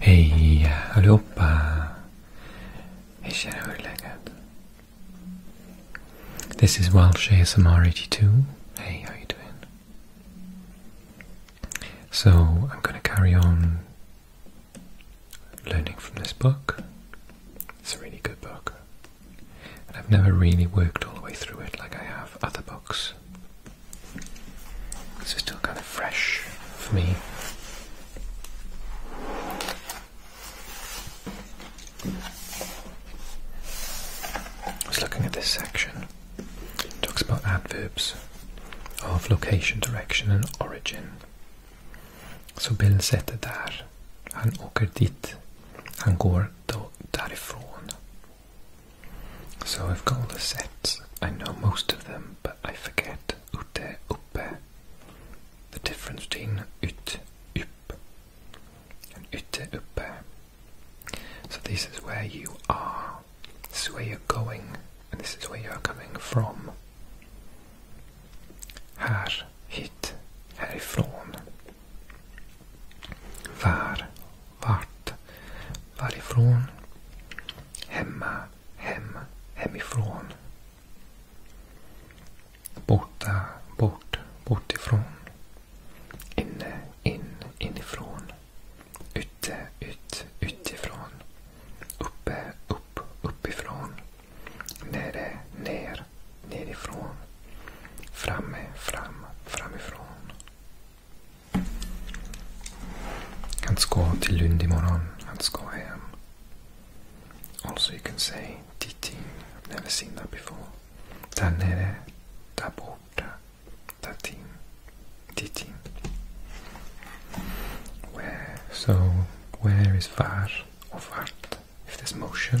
Hey, allihopa! Hej kära hur är This is Welsh ASMR 82. Hey, how are you doing? So, I'm going to carry on learning from this book. It's a really good book. And I've never really worked all the way through it like I have other books. It's still kind of fresh for me. I was looking at this section. It talks about adverbs of location, direction, and origin. So, Så bildsättet där. Han öker dit. Han går då därifrån. So I've got all the sets. I know most of them, but I forget ute, uppe. The difference between ut, up, and ute, uppe. So this is where you are. This is where you're going, and this is where you are coming from. Här, hit, härifrån. Var, vart, varifrån. Hemma, hem, hemifrån. Borta, bort, bortifrån. Inne, in, inifrån. Ute, ut, utifrån. Uppe, upp, uppifrån. Nere, ner, nerifrån. Framme, fram, framifrån. Han ska till Lund imorgon. Han ska hem. Also you can say Titing. I've never seen that before. Där nere. Där borta. Tatin. Titing. Where? So where is var och vart? If there's motion.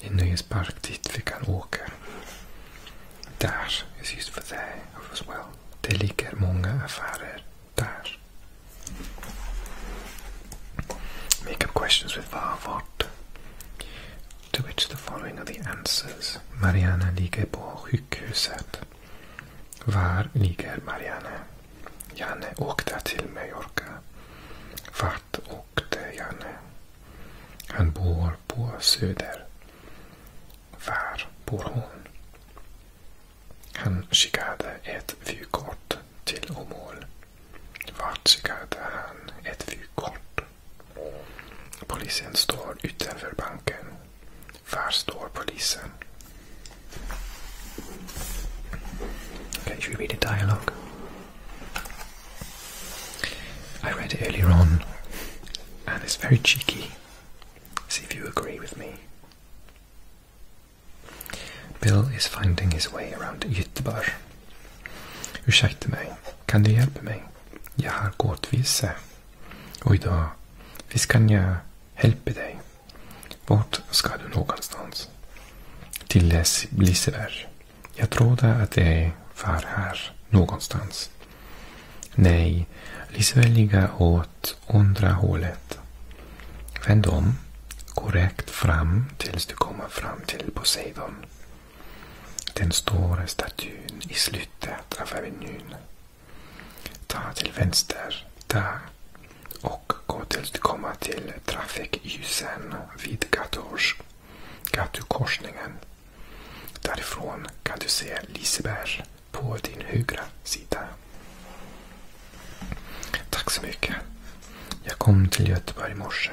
En nöjespark dit vi kan åka. Där is used for there as well. Det ligger många affärer där. Make up questions with var, vart. To which the following are the answers. Mariana ligger på sjukhuset. Var ligger Mariana? Janne åkte till Mallorca. Var vart åkte Janne? Han bor på Söder. Var bor hon? Han skickade ett vykort till Åmål. Vart skickade han ett vykort? Polisen står utanför banken. Var står polisen? Okay, should read a dialogue? I read it earlier on, and it's very cheeky. See if you agree with me. Bill is finding his way around Göteborg. Ursäkta mig, kan du hjälpa mig? Jag har gått vilse. Och idag, visst kan jag hjälpa dig? Vart ska du någonstans? Till Liseberg. Jag trodde att det var här någonstans. Nej, Lisbeth ligger åt andra hålet. Vänd om, korrekt fram tills du kommer fram till Poseidon. Den stora statyn i slutet av avenyn. Ta till vänster, där. Och gå tills du kommer till trafikljusen vid Gators, gatukorsningen. Därifrån kan du se Liseberg på din högra sida. Tack så mycket. Jag kom till Göteborg i morse.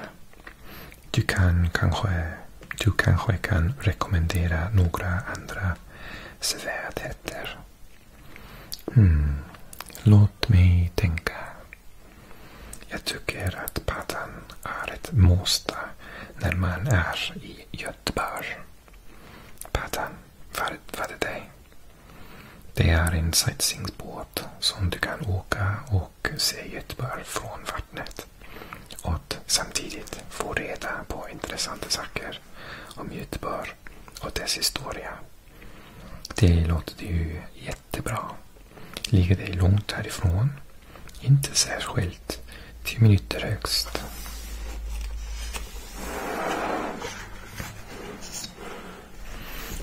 Du, kan kanske, du kanske kan rekommendera några andra svärdheter? Mm. Låt mig tänka. Jag tycker att paddan är ett måste när man är i Göteborg. Paddan, vad, vad är det? Det är en sightseeingbåt som du kan åka och se Göteborg från vattnet. Och samtidigt få reda på intressanta saker om Göteborg och dess historia. Det låter ju jättebra. Ligger dig långt härifrån. Inte särskilt. Tio minuter högst.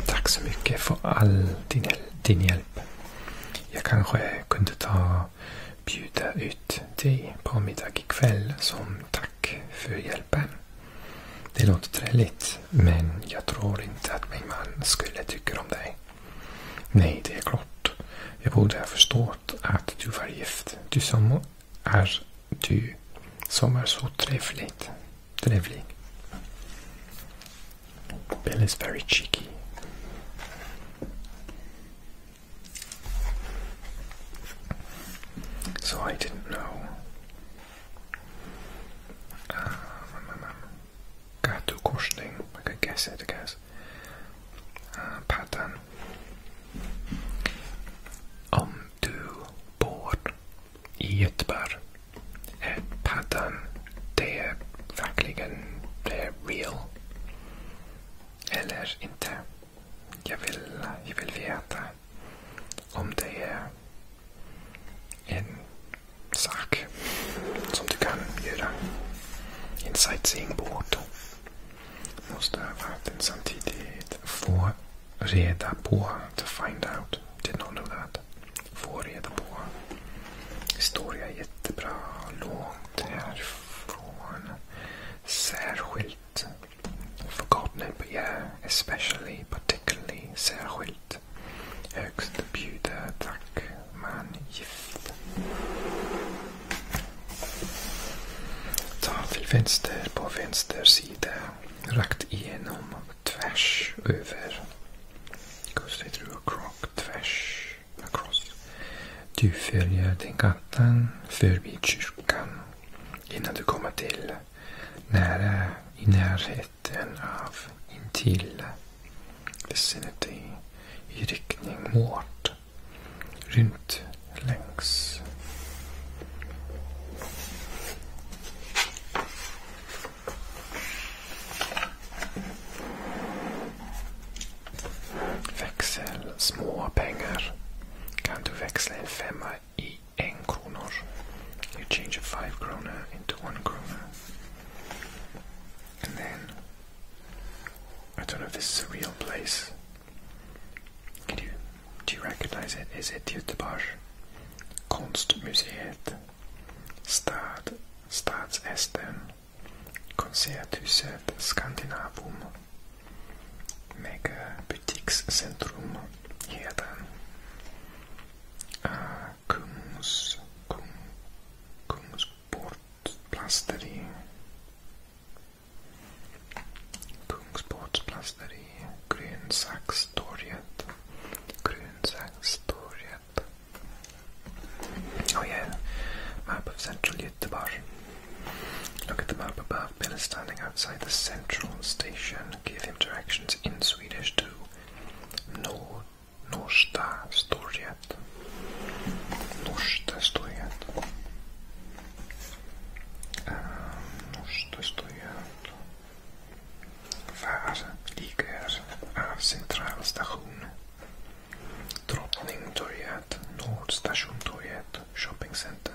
Tack så mycket för all din, din hjälp. Jag kanske kunde ta bjuda ut dig på middag ikväll som tack för hjälpen. Det låter trevligt, men jag tror inte att min man skulle tycka om dig. Nej, det är klart. Jag borde ha förstått att du var gift. Du som är du som är så trevligt. Trevlig. Bill is very cheeky. So I didn't know. Um, Gatu korsning. Man kan guess it, I guess. Uh, ah, pattern. Om du bor i Göteborg. Pattern. Det är verkligen det är real. Eller inte. Jag vill, jag vill veta om det är en sak som du kan göra en sightseeing på orten. Måste ha den samtidigt få reda på, to find out, did not know that. Få reda på. Historia är jättebra, långt härifrån. Särskilt Förkortningen begär, especially, particularly, särskilt. Högst bjuder, tack, man, gift. Ta till vänster på vänster sida, rakt igenom, tvärs över. Kustig through a crock, tvärs, across. Du följer den gatan förbi kyrkan innan du kommer till nära i närheten av intill vicinity i riktning mot runt längs. Växel små pengar. Kan du växla en femma i en kronor. You change a five kroner into one kroner. And then, I don't know if this is a real place. Can you, do you recognize it? Is it Göteborg? Konstmuseet. Stad, Stadsästen. Konserthuset Skandinavum. Megabutikscentrum heter uh, Kungs, Grönsakstorget. Grönsakstorget. Och jag är på Central Göteborg. Look at the map above. Bill is standing outside the central station. Give him directions in Swedish to Nor Norsta Storget. Norsta Storget. Um, Norsta Storget. Var ligger av centralstation? Drottningtorget, Nordstation Shopping Center.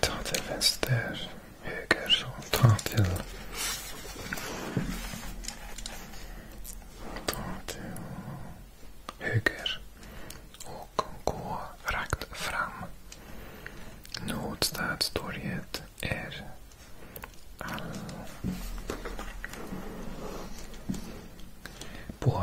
Ta till vänster, höger och ta till... Ta till höger och gå rakt fram. Nordstadstorget är all... På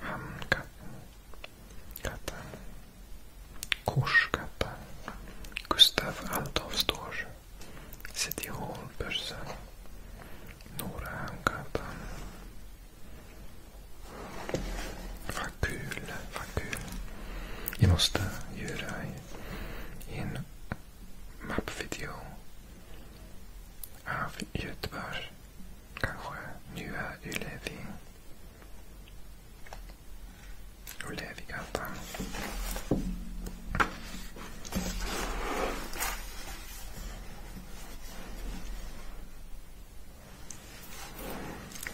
Hamnkatten. Katten. Korskatten. Gustav Altavstårs. City Hall-börsen. Norra Hamngatan. Vad kul, vad kul. Jag måste göra en mappvideo av Göteborg. Kanske nu är Ylevi. Ulevigatan.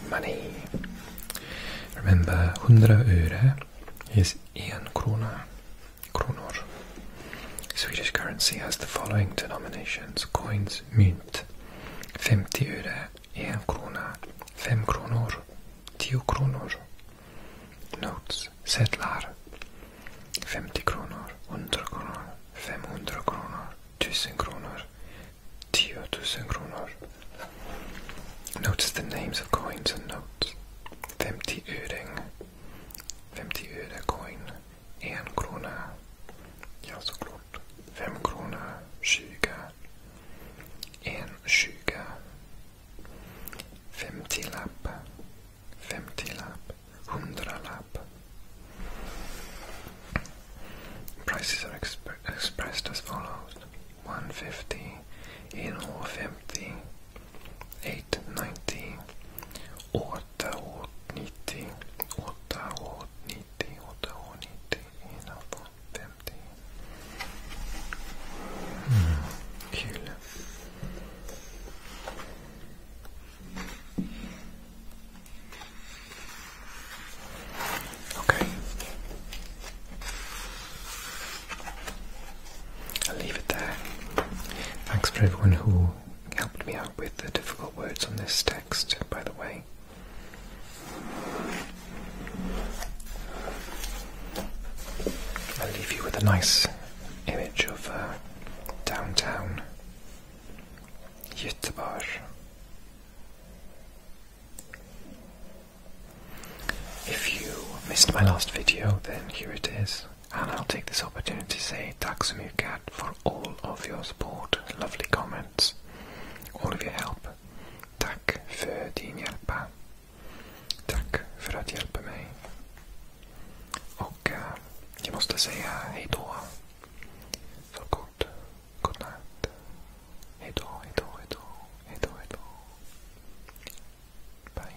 Money. Remember, 100 öre is 1 krona. Kronor. Swedish currency has the following denominations coins, mynt, mynt. 50 öre, 1 krona, 5 kronor, 10 kronor. Notes, sedlar. 50 kronor, 100 kronor, 500 kronor, 1000 kronor, 10,000 kronor. Notice the names of coins and notes. 50 öring, 50 öre coin. En krona. Ja, såklart. Fem krona. Tjugo. lap, tjugo. lap, Femtiolapp. Hundralapp. Prices are expressed as follows. 150, 150, 890, åttaåttnittio, åttaåttnittio, åttaåttnittio, innanför femtio. Mm, kul. Okej. Okay. I'll leave it there. Thanks for everyone who helped me out with the difficult words on this text, by the way. I'll leave you with a nice image of uh, downtown Göteborg. If you missed my last video, then here it is. And I'll take this opportunity to say tack så mycket for all of your support, lovely comments, all of your help. Tack för din hjälpa. Tack för att hjälpa mig. Och uh, jag måste säga hejdå. Så kort. Godnatt. Hejdå, hejdå, hejdå. Hejdå, hejdå. Bye.